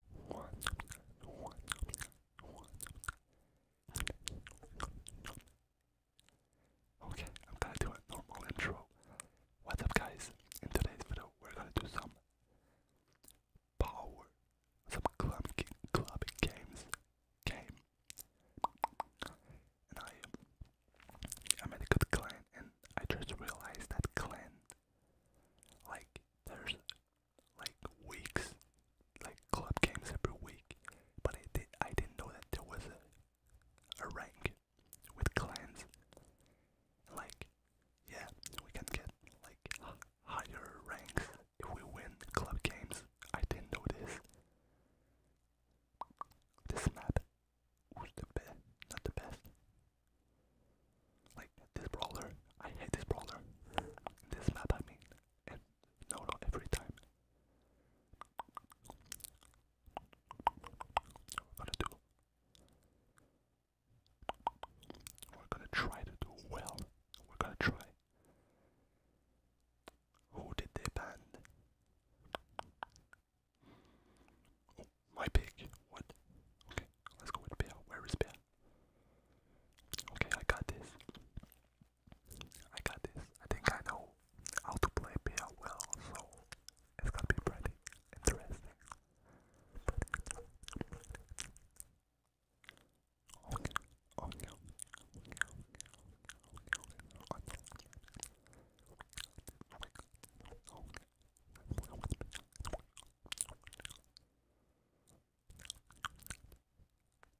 Okay, I'm gonna do a normal intro. What's up, guys? In today's video, we're gonna do some power, some club, club games game. And I, I made a good clan, and I just realized that clan, like, there's like weeks, like club games every week. But I did I didn't know that there was a a rank with clans. Like yeah, we can get like higher ranks if we win club games. I didn't know this. This map was the best, not the best. Like this brawler, I hate this brawler. This map, I mean, and no, every time. We're gonna do. We're gonna try to do well. We're gonna try. Who did they ban? My pig. What? Okay, let's go with Bear. Where is Bear? Okay, I got this. I got this. I think I know how to play Bear well, so it's gonna be pretty interesting.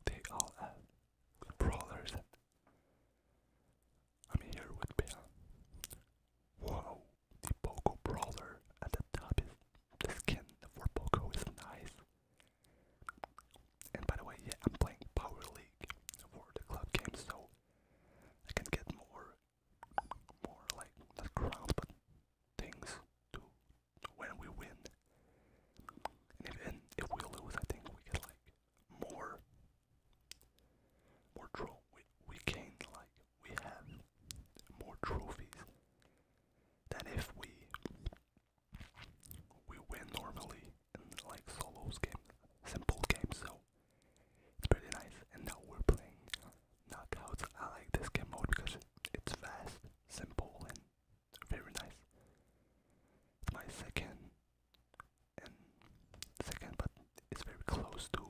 They all have brawlers. I'm here with Bill. Wow, the Poco brawler at the top is the skin for Poco is nice. And by the way, yeah, I'm playing Power League for the club game so I can get more more like not crowns but things to when we win. And if, we lose, I think we get like more more trophies. We, we gain like we have more trophies than if we we win normally like solos game, simple games. So it's pretty nice. And now we're playing knockouts. I like this game mode because it's fast, simple, and very nice. It's my second and second, but it's very close to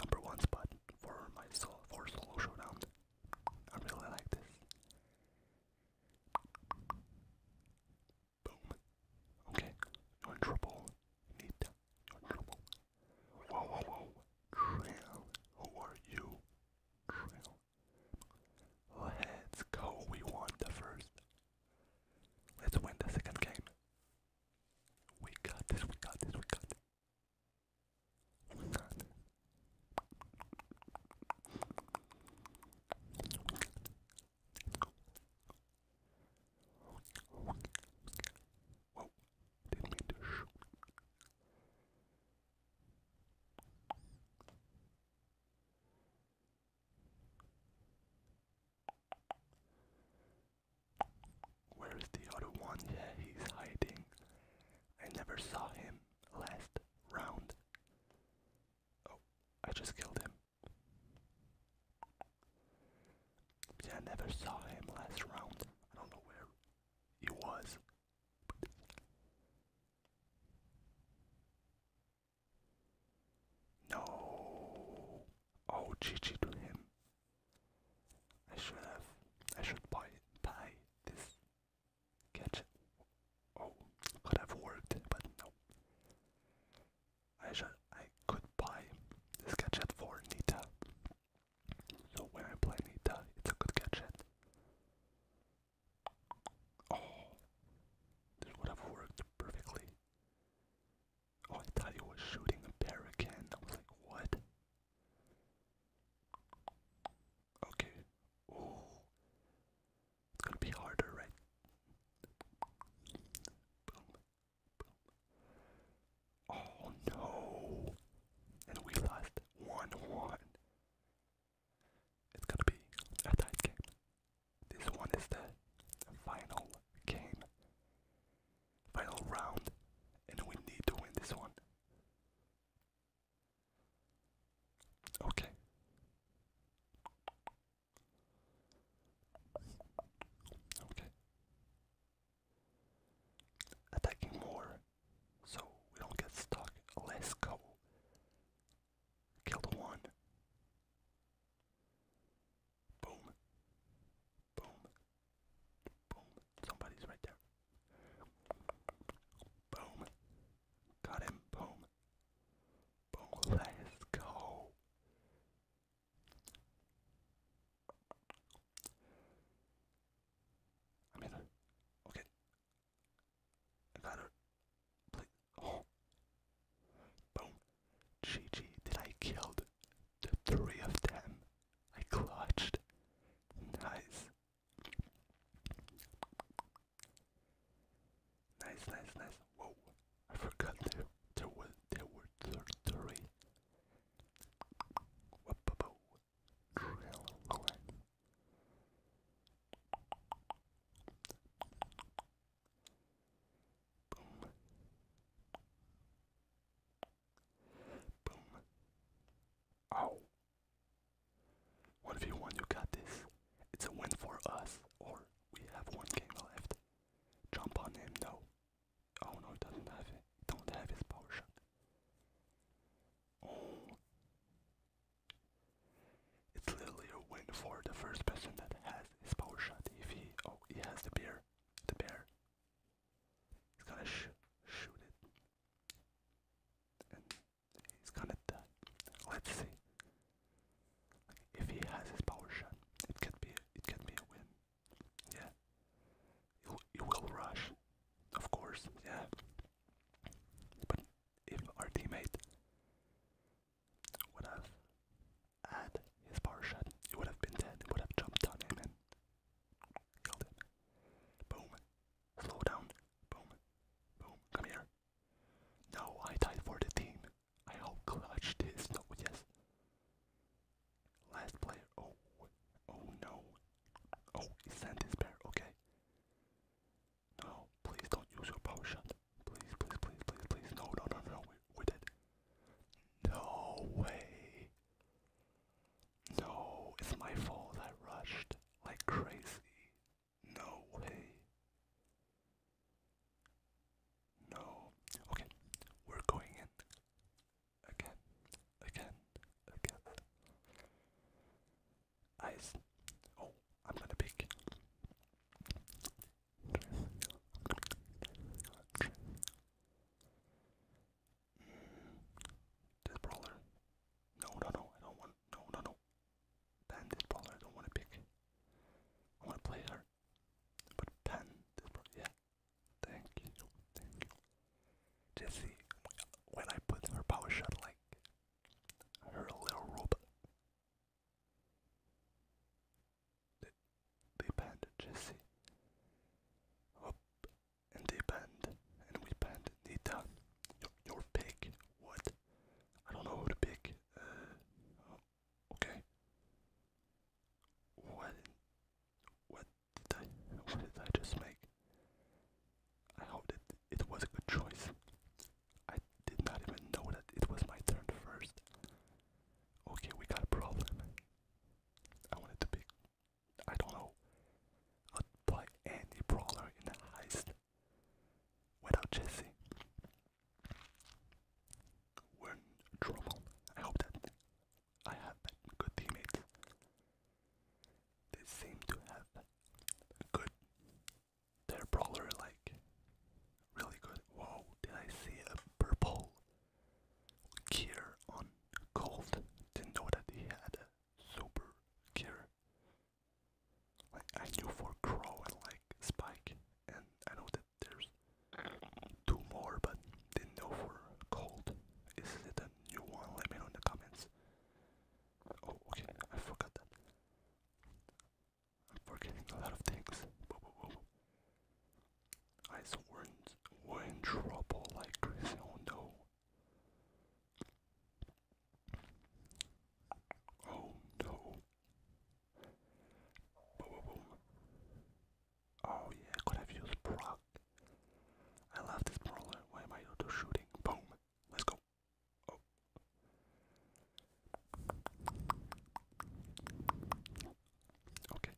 number one spot for my solo for solo showdown. I really like this. Boom. Okay, you're in trouble. You Whoa, whoa, whoa. Krill, who are you? Krill. Let's go. We won the first. Let's win the second game. We got this, we got this, we got this. We got this. We got this. Where's the other one? Yeah, he's hiding. I never saw him last round. Oh, I just killed him. Yeah, I never saw him last round. I don't know where he was. no. Oh, GG to him. I should have. I should buy buy this gadget. Oh, could have worked, but no. I should, I could buy this gadget for Nita. So when I play Nita, it's a good gadget. Oh, this would have worked perfectly. Oh, I thought he was shooting a bear again. I was like, what? Okay. It's gonna be harder, right? Oh no! And we lost 1 1. It's gonna be a tight game. This one is the final game, final round, and we need to win this one. Okay. Okay. Attacking more so we don't get stuck. Let's go. Kill the one. Boom. Boom. Boom. Somebody's right there. Boom. Got him. Boom let's go. I mean, okay. I got her. Oh. Boom. GG. Did I kill the three of them? I clutched. Nice. Nice, nice, nice. Whoa, I forgot there there was there were 3 Boom. Boom. Ow. Oh. What if you want? You got this. It's a win for us, or we have one game left. Jump on him, no. Oh no, he doesn't have it. Don't have his power shot. Oh. It's literally a win for the first person that has his power shot. If he, oh, he has the bear, the bear. He's gonna shoot it, he's gonna Let's see. If he has his power shot, it could be it could be a win. Yeah. You you will rush, of course. Yeah. But if our teammate would have had his power shot, it would have been dead. would have jumped on him and killed him. Boom. Slow down. Boom. Boom. Come here. No, I died for the team. I how clutch this. No, yes. Last player. Oh, oh no. Oh, he sent Okay. No, please don't use your power Please, please, please, please, please. No, no, no, no. We, we did. No way. No, it's my fault. I rushed like crazy. No way. No. Okay, we're going in. Again, again, again. Ice. Oh, I'm gonna pick. Mm, brawler. No, no, no. I don't want. No, no, no. Pan this I don't want to pick. I want to play her. But pan this yeah. Thank you, thank you. Jessie, when I put her power shot, like, her little robot. They, they banned Jesse. Up and they banned, and we banned Nita. Your, your what? I don't know who to pick. Uh, okay. What? What did I? What did I just make? I hope that it was a good choice. I did not even know that it was my turn first. Okay, we got a problem. I wanted to pick. I don't know. I'd play any brawler in the heist without Jesse. We're in trouble. I hope that I have good teammates. They seem to have good. Their brawler like really good. Whoa! Did I see a purple gear on Cold? Didn't know that he had a super gear. I knew for Crow and like Spike, and I know that there's two more, but didn't know for Cold. Is it a new one? Let me know in the comments. Oh, okay, I forgot that. I'm forgetting a lot of things. Whoa, whoa, whoa. in, trouble like crazy. Oh no. Oh no. Boom, boom, boom. Oh yeah, could have used proc. I love this brawler. Why am I auto shooting? Boom. Let's go. Oh. Okay.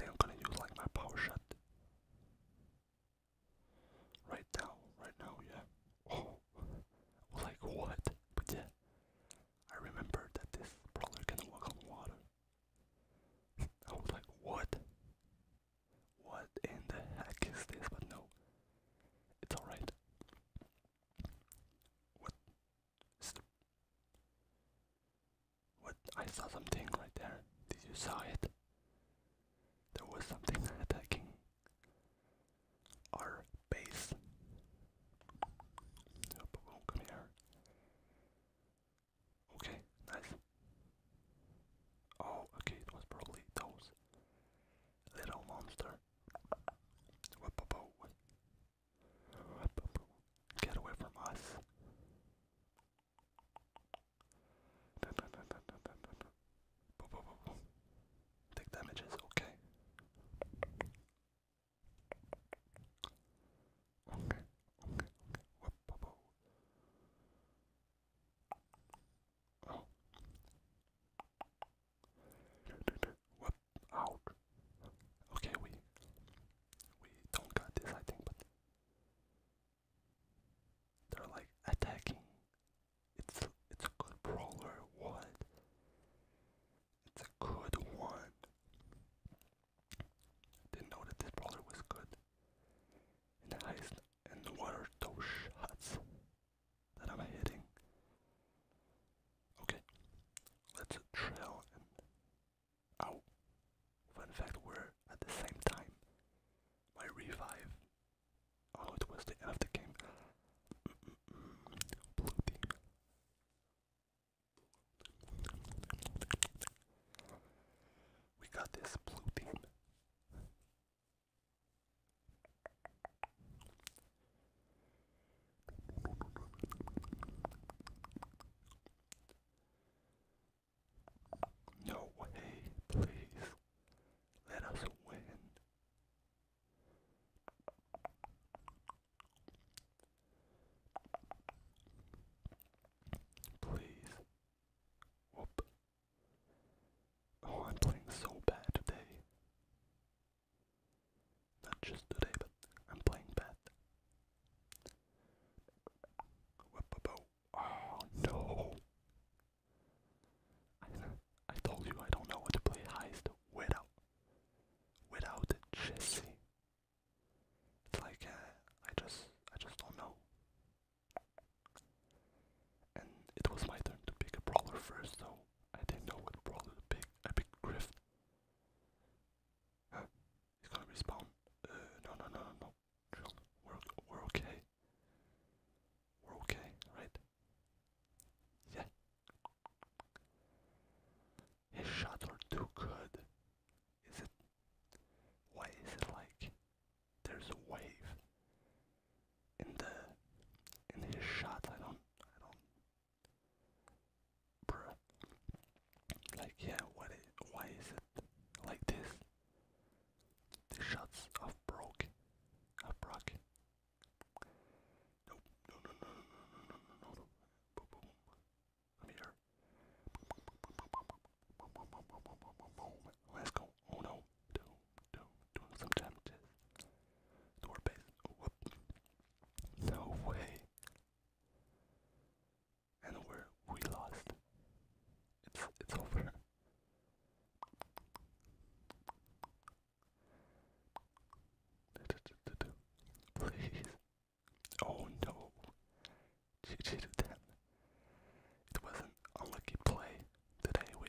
I I'm gonna use like my power shot. Right now, right now, yeah. Oh, I was like what? But yeah, I remember that this probably can walk on water. I was like, what? What in the heck is this? But no, it's alright. What is what? I saw something right there. Did you saw it? There was something attacking our base. Oh, come here. Okay, nice. Oh, okay, it was probably those little monster. Get away from us. Boom, boom, Take damages, okay. Okay, okay, oh. out. Okay, we we don't got this, I think, they're like attacking. It's a, it's a good brawler. What? It's a good one. Didn't know that this brawler was good. And the highest. And what are those shots that I'm hitting? Okay, let's trail out. Oh, fun fact, we at the same time. My revive. Oh, it was the end of the game. Blue team. We got this blue team. No way, please. Let us win. Please. Oh, I'm playing so bad today. Not just today, but I'm playing bad. Oh no! I, I told you I don't know how to play Heist without without Jesse. It's like uh, I just I just don't know. And it was my turn to pick a brawler first, so I didn't know what brawler to pick. I picked Griff. He's gonna respawn. no, no, no, no, no. We're, we're okay. We're okay, right? Yeah. His shots are too good. Is it. Why is it like. There's a wave in the. in his shot. I don't. I don't Bruh. Like, yeah, what is, why is it like this? The shots of Brock. Of Brock. Nope. No, no, no, no, no, no, no, no, no. Boom, boom. I'm here. Let's go. Oh no. Doom, doom, doing some damages. Door base. Oh, whoop. No way and we we lost. It's it's over. Please. Oh no. It was an unlucky play today. We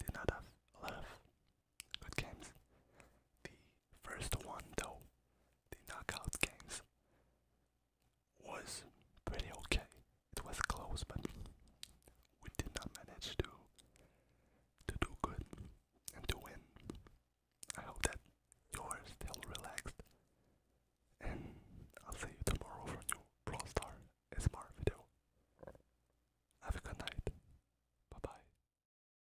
did not have a lot of good games first one though, the knockout games, was pretty okay. It was close, but we did not manage to to do good and to win. I hope that you're still relaxed, and I'll see you tomorrow for new Brawl Star SMR video. Have a good night. Bye bye.